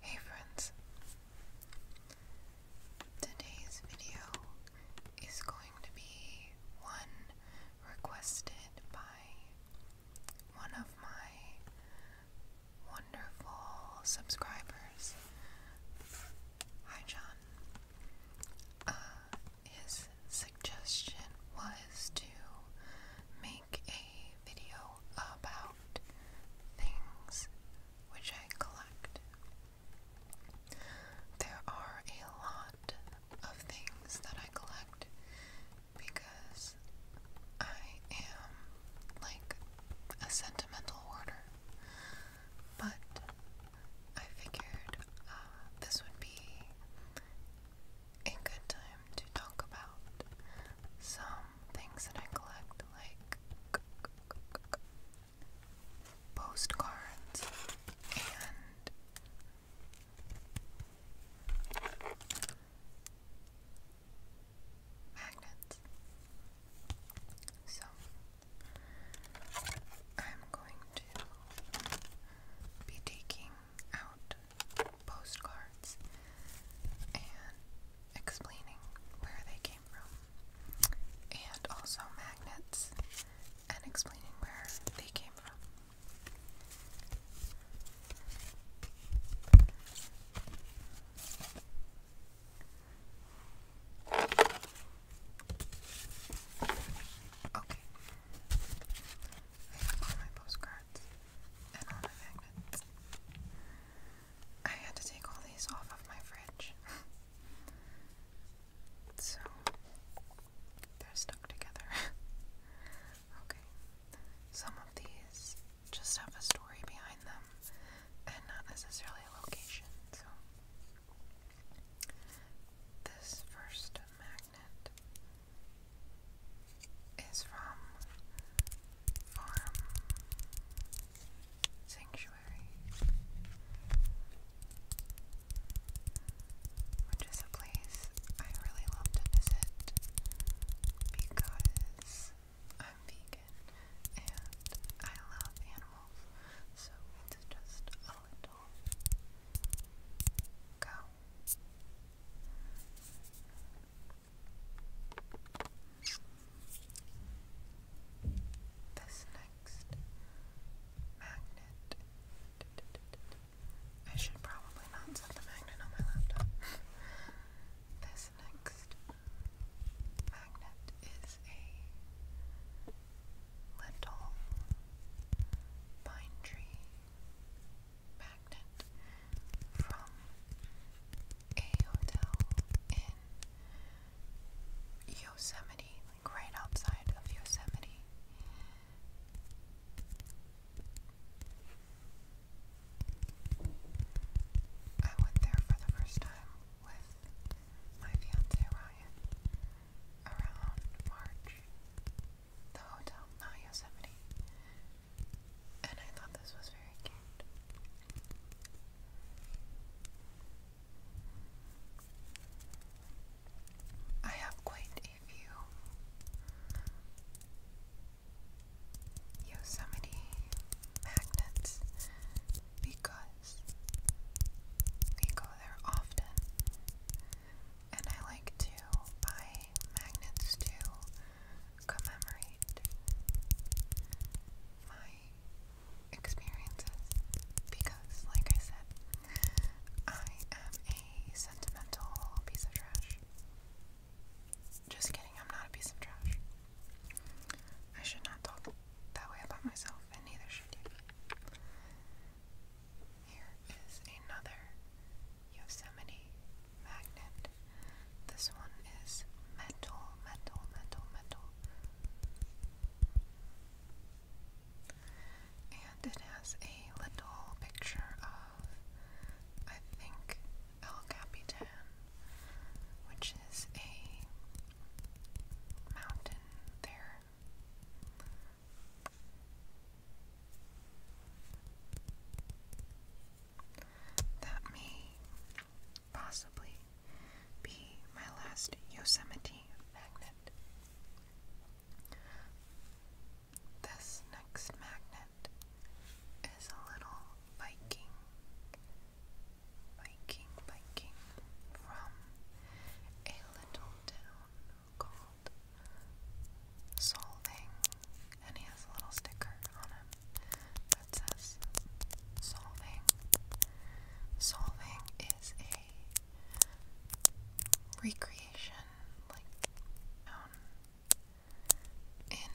Hey friends, today's video is going to be one requested by one of my wonderful subscribers. Hi John. Uh, his suggestion was to make a video about things which I collect. There are a lot of things that I collect because I am like a sentimental hoarder, but I figured uh, this would be a good time to talk about some things that I collect, like postcards and magnets. So, I'm going to be taking out postcards and explaining where they came from, and also magnets and explaining where they came from. Okay. I have all my postcards and all my magnets. I had to take all these off of my fridge. so, they're stuck together. okay. Some of these just have a story behind them and not necessarily a location, so. This first magnet is from Farm Sanctuary, which is a place I really love to visit because I'm vegan and I love animals, so it's just a little go. This next magnet. I should probably not set the magnet on my laptop. this next magnet is a little pine tree magnet from a hotel in Yosemite, like right outside of Yosemite. I went there for the first time with my fiance Ryan around March, the hotel, not Yosemite. And I thought this was very cute. I have quite a few Yosemite magnets because because we go there often. And I like to buy magnets to commemorate my experiences because, like I said, I am a sentimental piece of trash. Just kidding, I'm not a piece of trash. I should not talk that way about myself, and neither should you. Here is another Yosemite magnet. This one is metal, metal, metal, metal. And it has a little picture of, I think, El Capitan, which is a mountain there that may possibly be my last Yosemite magnet. This next magnet is a little Viking, Viking, Viking from a little town called Solving, and he has a little sticker on him that says Solving. Solving is a recreation, like, town in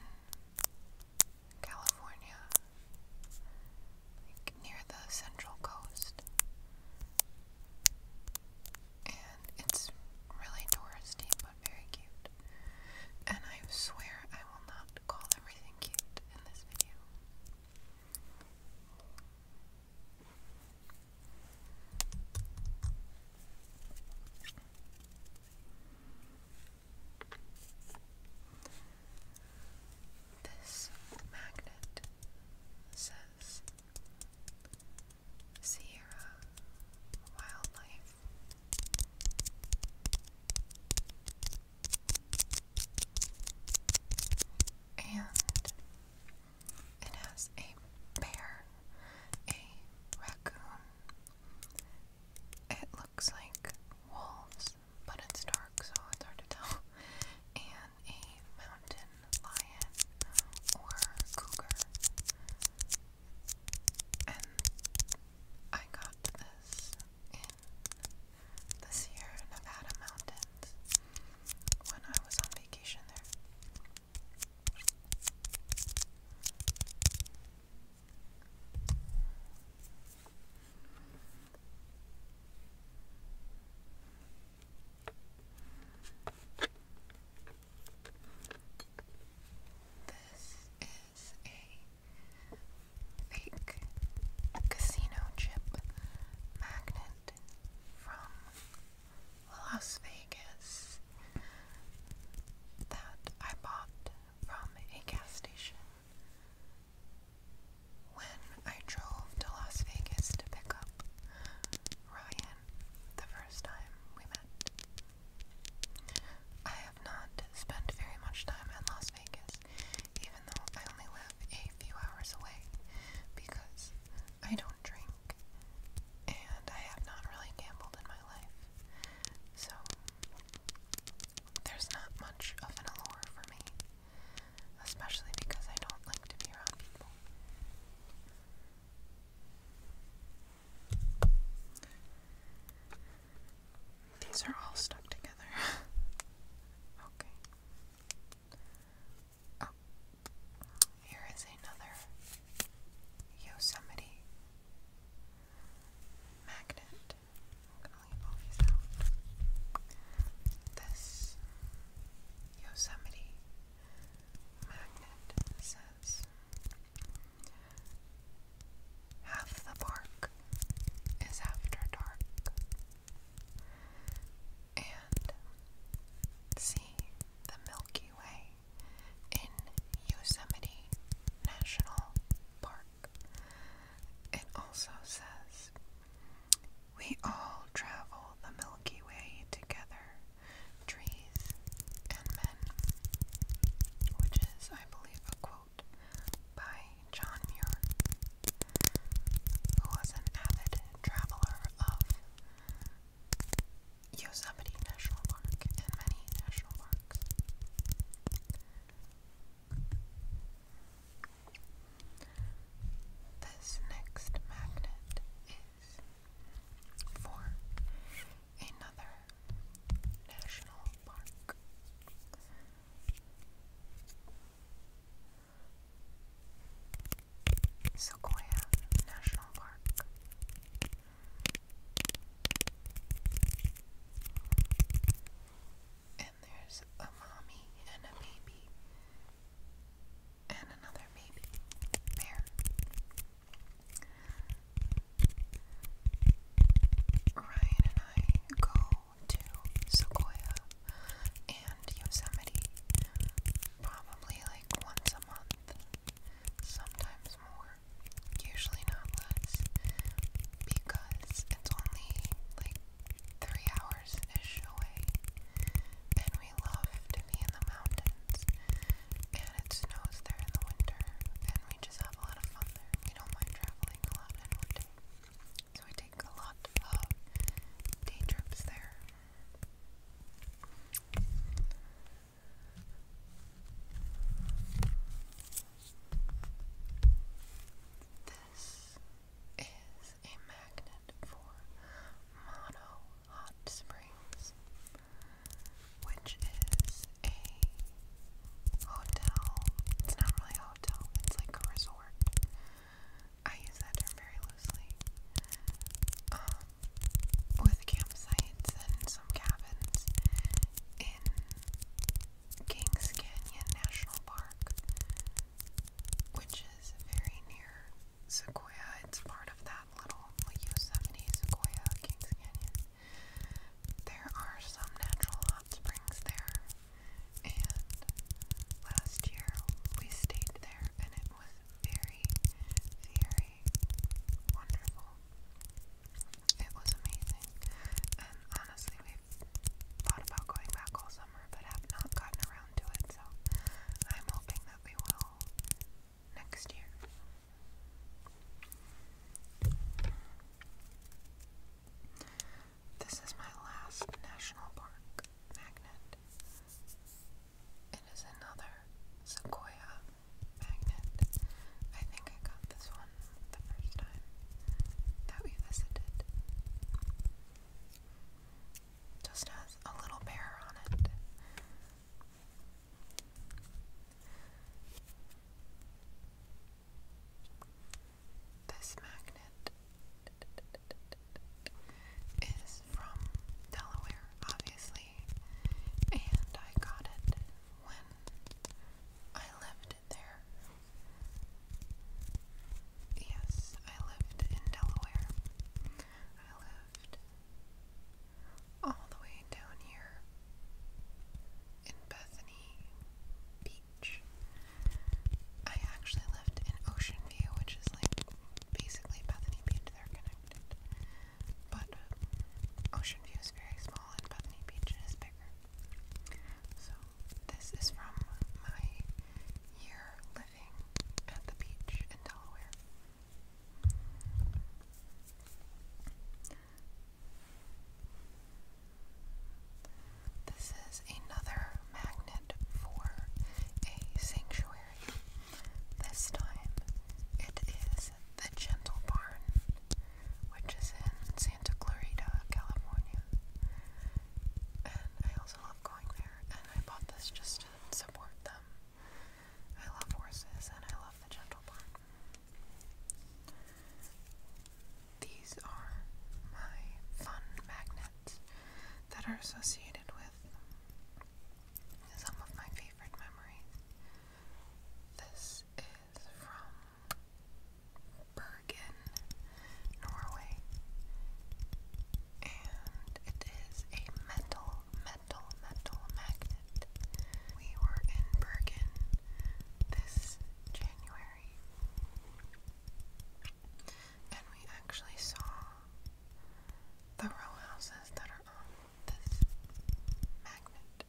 California like near the central coast. And it's really touristy but very cute. And I swear I will not call everything cute in this video. This magnet says Sierra Wildlife. And it has a bear, a raccoon. It looks like wolves but it's dark, so it's hard to tell. And a mountain lion um, or cougar. And I got this in the Sierra Nevada mountains when I was on vacation there. This is a fake casino chip magnet from Las Vegas that I bought from a gas station when I drove to Las Vegas to pick up Ryan the first time we met, I have not spent very much time in Las Vegas, even though I only live a few hours away, because I don't drink and I have not really gambled in my life. So, there's not much of an allure for me. Especially because I don't like to be around people. These are all stuck together. okay. Oh. Here is another Yosemite magnet. This Yosemite magnet says half the park is after dark. And see the Milky Way in Yosemite National Park. It also says we all travel the Milky Way together, trees and men, which is, I believe, a quote by John Muir, who was an avid traveler of Yosemite National Park and many national parks. This next magnet is for another national park. Sequoia National Park there's a mommy and a baby and another baby there. Ryan and I go to Sequoia and Yosemite probably like once a month, sometimes more, usually not less, because it's only like three hours ish away. And we love to be in the mountains. And it snows there in the winter. And we just have a lot of fun there. We don't mind traveling a lot in winter. So we take a lot of day trips there. This is a magnet for Mono Hot Springs, which is a hotel. It's not really a hotel, it's like a resort. I use that term very loosely. Um, with campsites and some cabins in Kings Canyon National Park, which is very near Sequoia. It's part of that little Yosemite Sequoia Kings Canyon. There are some natural hot springs there, and last year we stayed there, and it was very, very wonderful. It was amazing, and honestly, we thought about going back all summer but have not gotten around to it, so I'm hoping that we will next year. This is my last national park magnet. It is another Sequoia magnet. I think I got this one the first time that we visited. Just has a little bear on it. This magnet is from Delaware, obviously, and I got it when I lived there. Yes, I lived in Delaware. I lived all the way down here in Bethany Beach. I actually lived in Ocean View, which is like basically Bethany Beach, they're connected. But um, Ocean View is very small and Bethany Beach is bigger. So, this is from my year living at the beach in Delaware. This is another magnet for a sanctuary. This time it is the Gentle Barn which is in Santa Clarita, California. And I also love going there, and I bought this just to support them. I love horses, and I love the gentle barn. These are my fun magnets that are associated with some of my favorite memories. This is from Bergen, Norway. And it is a metal, metal, metal magnet. We were in Bergen this January. And we actually saw the row houses that are on this magnet.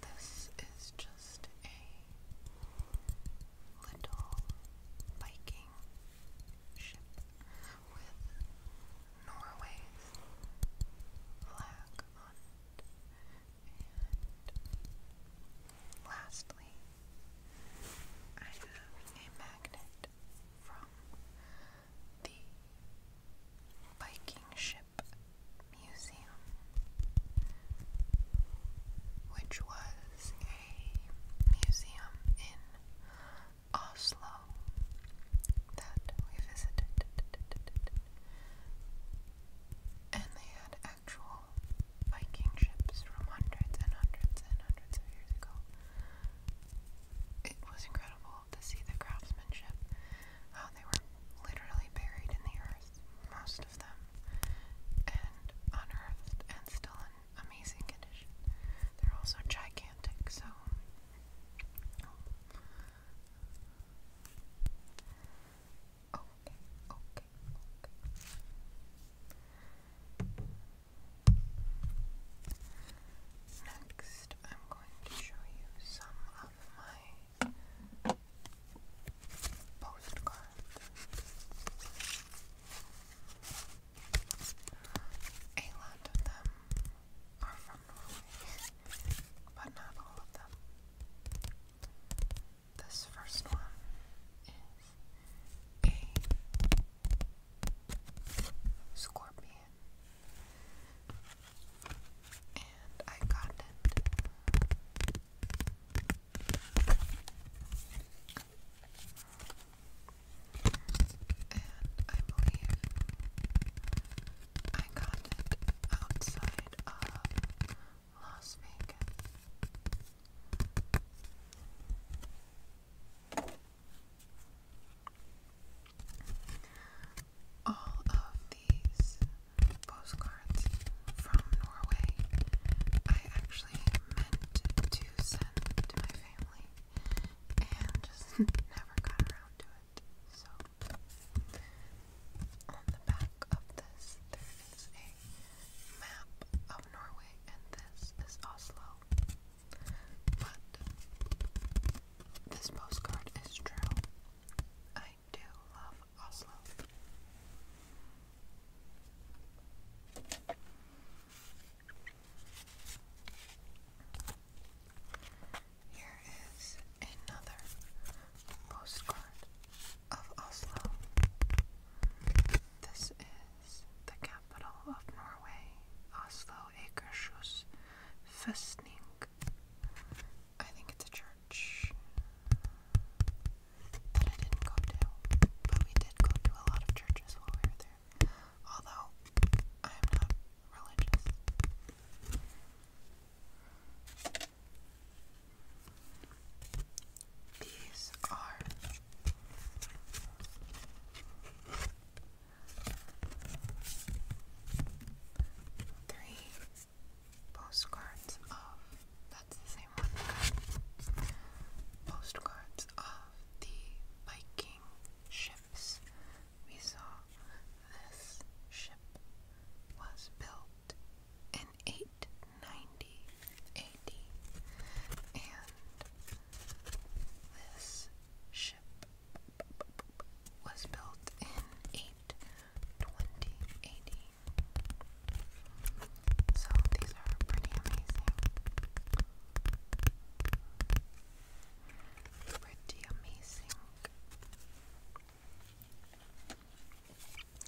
This is just a little Viking ship with Norway's flag on it. And lastly, I have a magnet from the Viking Ship Museum, which was a museum in Oslo that we visited. And they had actual Viking ships from hundreds and hundreds and hundreds of years ago. It was incredible to see the craftsmanship, how they were literally buried in the earth, most of them, and unearthed and still in amazing condition. They're also gigantic, so. Oh, okay, okay, okay. Next, I'm going to show you some of my postcards. A lot of them are from Norway, but not all of them. This first one is a scorpion, and I got it and I believe I got it outside of Las Vegas. All of these postcards from Norway I actually meant to send to my family and just never got around to it. So, on the back of this, there is a map of Norway, and this is Oslo. But this postcard is true. I do love Oslo. Here is another postcard of Oslo. This is the capital of Norway, Oslo Akershus Festning. I think it's a church that I didn't go to, but we did go to a lot of churches while we were there. Although I am not religious. These are three postcards of that's the same one postcards of the Viking ships. We saw this ship was built in 890 and this ship was built in 820 So these are pretty amazing. Pretty amazing.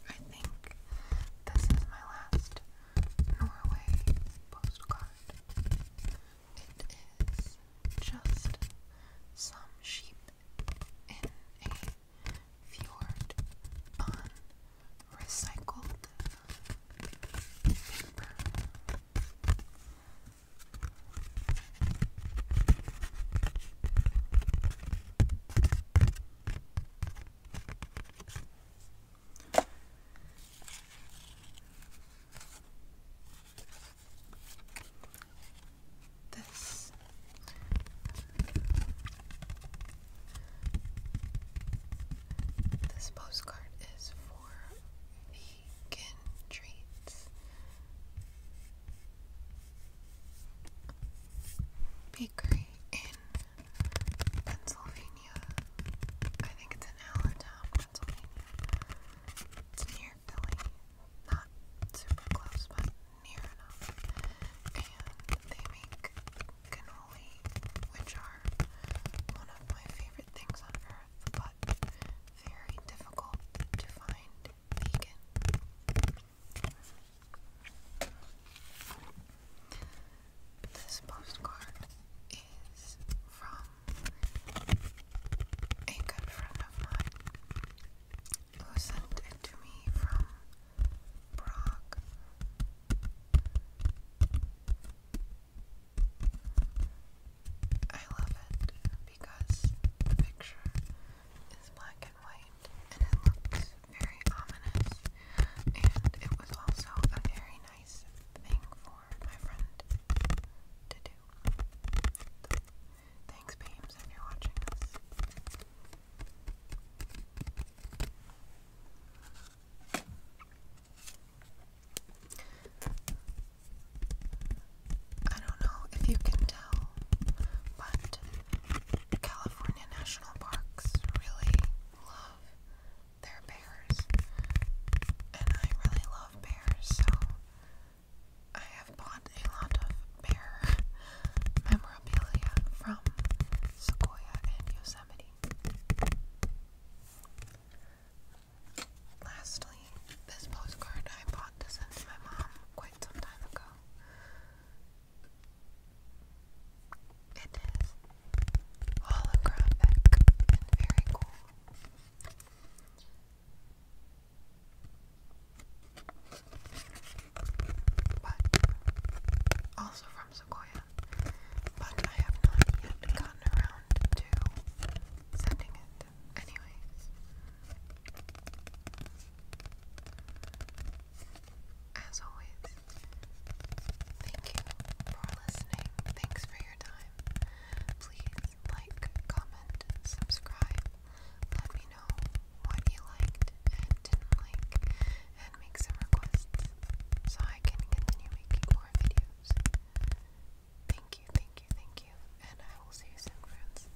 I think this is my last Norway postcard. It is just some sheep in a fjord on recycled paper. This this postcard is for vegan treats bakery in Pennsylvania. I think it's in Allentown, Pennsylvania. It's near Philly. Not super close, but near enough. And they make cannoli, which are one of my favorite things on earth, but very difficult to find vegan. This postcard is from a good friend of mine who sent it to me from Prague. I love it because the picture is black and white and it looks very ominous, and it was also a very nice thing for my friend to do. thanks, Beams, if you're watching this. I don't know if you can tell but California National Parks really love their bears, and I really love bears, so I have bought a lot of bear memorabilia from Sequoia and Yosemite. Lastly, this postcard I bought to send to my mom quite some time ago. It is holographic very cool. But also from Sequoia. But I have not yet gotten around to sending it. Anyways. As always, thank you for listening. Thanks for your time. Please like, comment, subscribe. Let me know what you liked and didn't like, and make some requests so I can continue making more videos. Thank you, thank you, thank you, and I will see you soon, friends.